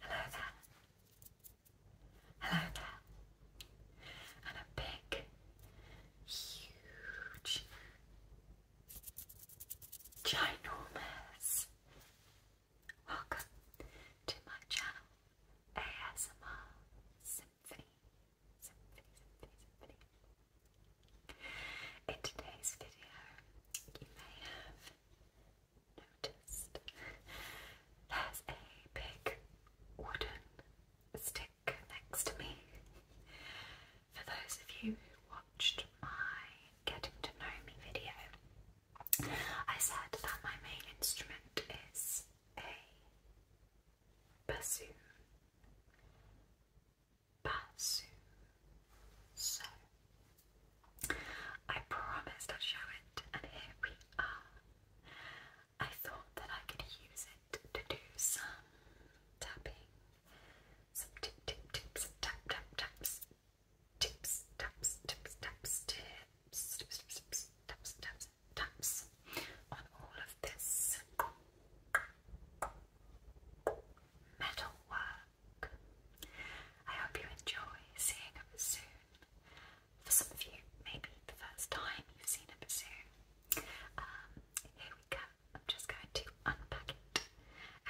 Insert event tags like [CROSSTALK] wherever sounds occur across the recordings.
Hello there. Hello there. And a big, huge, ginormous welcome to my channel ASMR Symphony. Symphony, Symphony, Symphony. In today's video, you may have noticed there's a big wooden stick next to me. For those of you who watched my Getting to Know Me video, I said that my main instrument is a bassoon. Bassoon. So, I promised I'd show it, and here we are. I thought that I could use it to do some tapping, some tip, tips, some tap, tap, taps, tips, taps, tips, taps, tips, taps, taps, taps on all of this metal I hope you enjoy seeing a bassoon. For some of you, maybe the first time you've seen a bassoon. Um, here we go. I'm just going to unpack it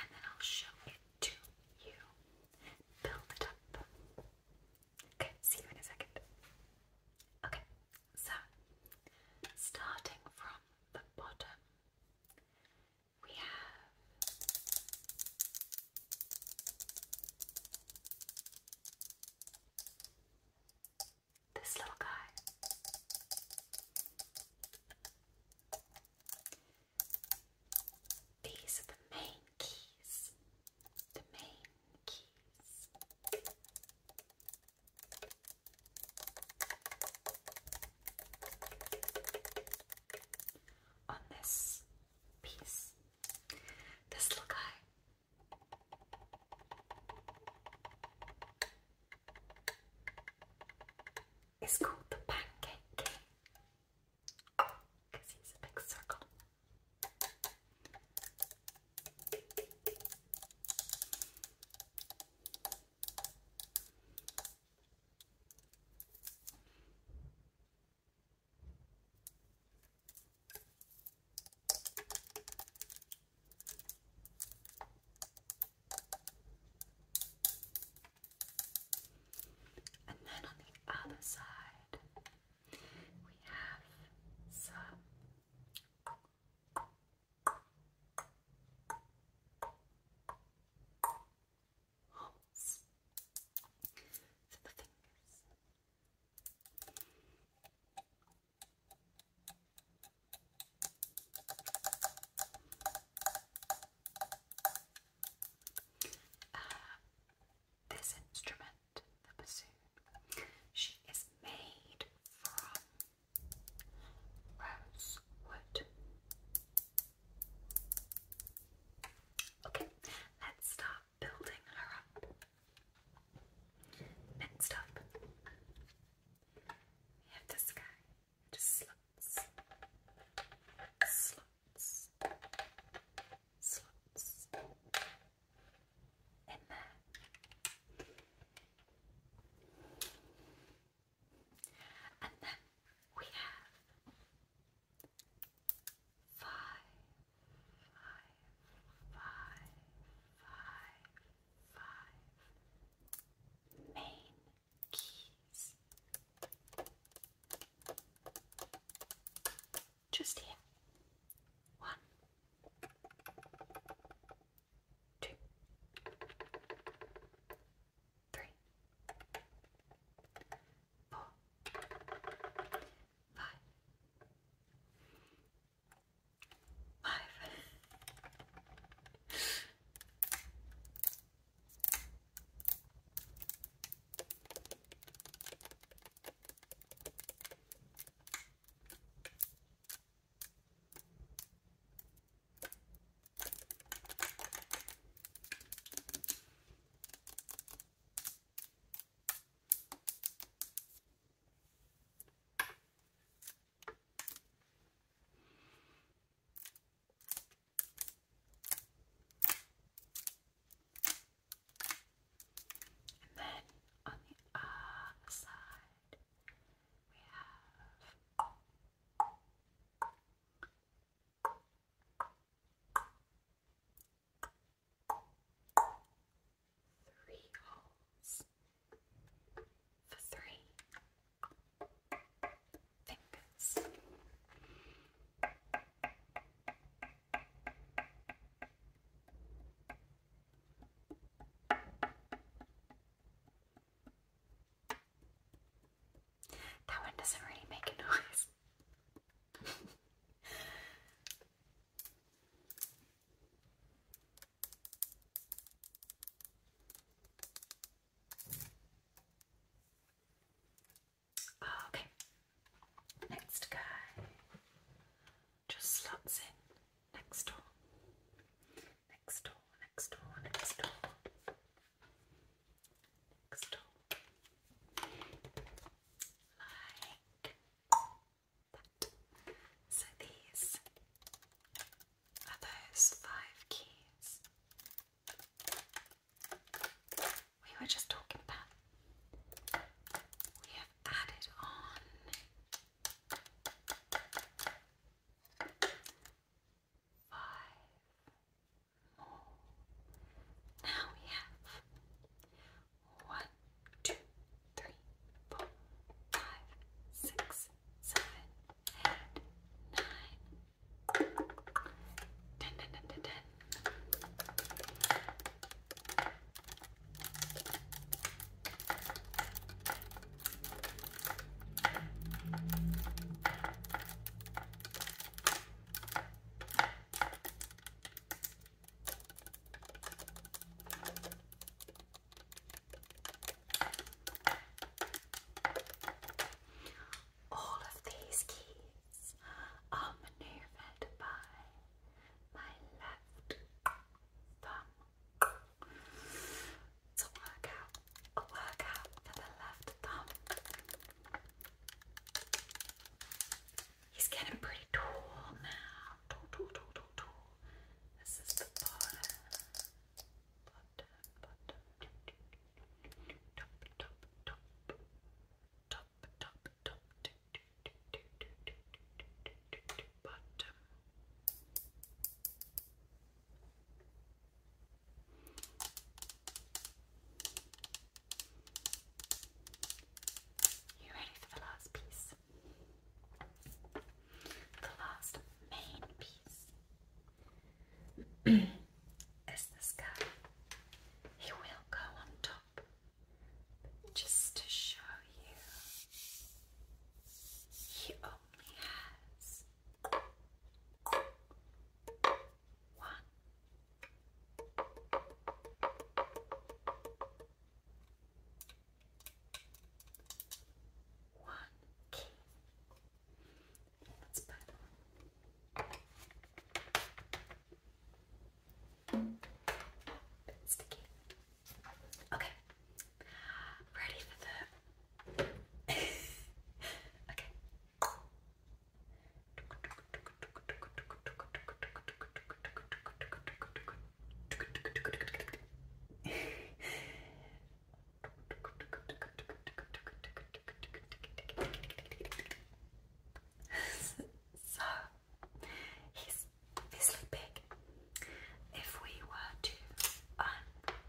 and then I'll show it to you. Build it up. Okay, see you in a second. Okay, so starting from the bottom, we have this little guy. These are the main keys. The main keys on this piece. This little guy. It's called the pancake king because he's a big circle. And then on the other side, we have some holes the fingers. Uh, this instrument, the bassoon, she is made from rosewood. Okay, let's start building her up. Next up, we have this guy. Just slots, slots, slots in there. And then we have five, five, five, five, five main keys. Just here. One, two, three, four, five, five. And then on the other side, we have Three holes for three fingers. That one doesn't really make a [LAUGHS] noise okay, next guy just slots in next door, next door, next door, next door. So these are those five keys we were just talking about. We have added on. Five now we have one, two, three, four, five, six, seven, all of these keys are maneuvered by my left thumb. It's a workout, a workout for the left thumb. He's getting pretty tall now. Tall, tall, tall, tall, tall. This is the bottom. Bottom, bottom. Top, top, top. Top, top, top. Bottom. You ready for the last piece? The last main piece [CLEARS THROAT] is this guy. He will go on top, just to show you, he only has one. One key. Let's put it Okay. [LAUGHS] Ready for the. [LAUGHS] okay so he's obviously big. If we were to unwind,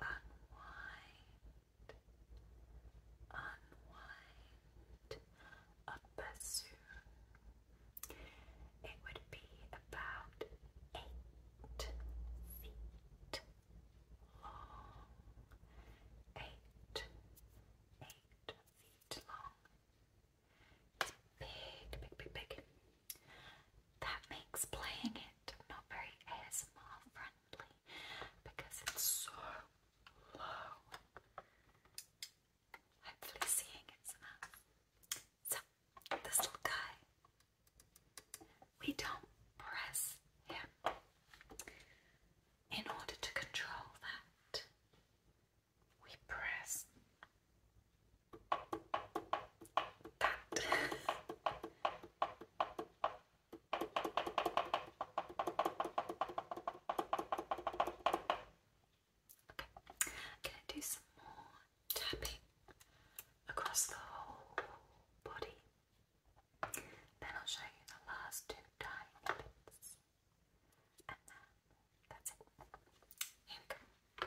unwind unwind of bassoon. It would be about eight feet long. Eight, eight feet long. It's big, big, big, big. That makes playing it not very ASMR friendly because it's so low. Hopefully, seeing it's enough. So, this little guy, we don't press him in order to control that. We press that. [LAUGHS] i going to do some more tapping across the whole body. Then I'll show you the last two tiny And then that's it. Here we go.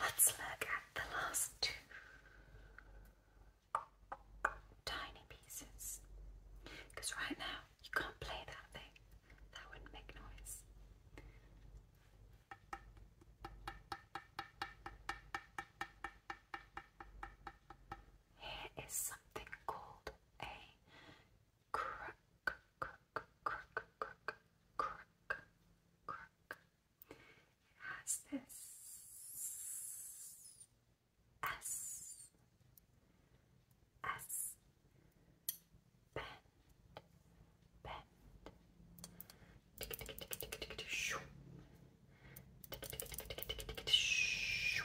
Let's look at the last two tiny pieces because right now you can't play that thing, that wouldn't make noise. Here is something called a crack, crack, crack, crack, crack, crack, crack. It has this S, S, bend, bend, shoo, shoo.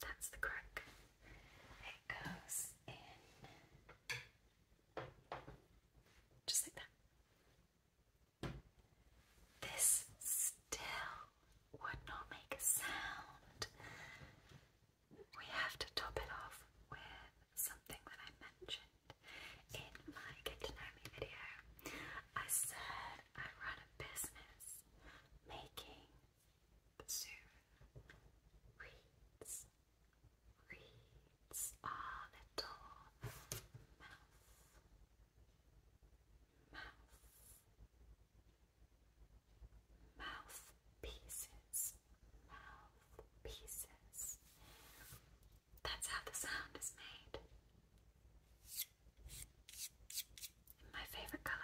That's the crook. It goes in just like that. This still would not make a sound. We have to top it off with something that I mentioned in my Get to Know Me video. I said I run a business making soon reads, reads our little mouth, mouth, mouth pieces, mouth pieces. That's how the sound is made. My favorite color.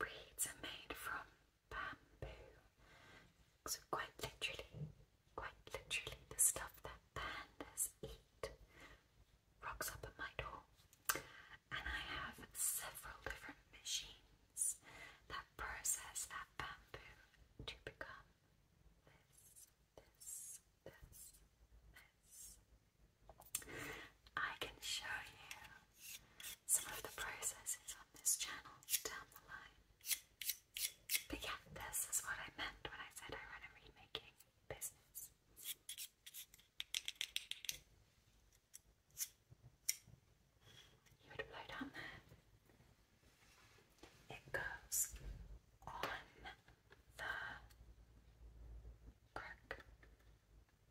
Reeds are made from bamboo. So quite literally, quite literally the stuff that pandas eat. Rocks up at my door. And I have several different machines that process that bamboo to become this, this, this, this. I can show you some of the processes on this channel down the line. But yeah, this is what I meant when I said I run a remaking business. You would blow down there. It goes on the brick.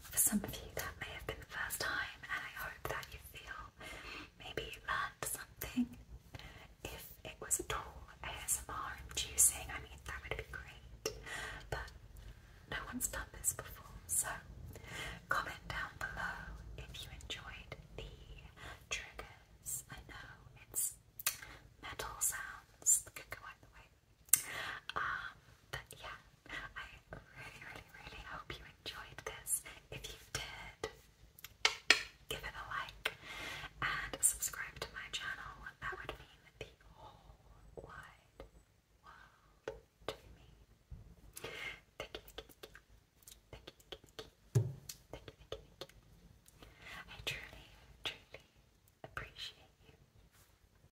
For some of you, that may have been the first time, and I hope that you feel maybe you learned something. If it was at all ASMR inducing, I mean, that would be great. But no one's done this before, so comment down below if you enjoyed the triggers. I know it's metal sounds that could go either way, um, but yeah, I really, really, really hope you enjoyed this. If you did, give it a like and subscribe to my channel. That would mean the whole wide world to me. Thank I truly, truly appreciate you.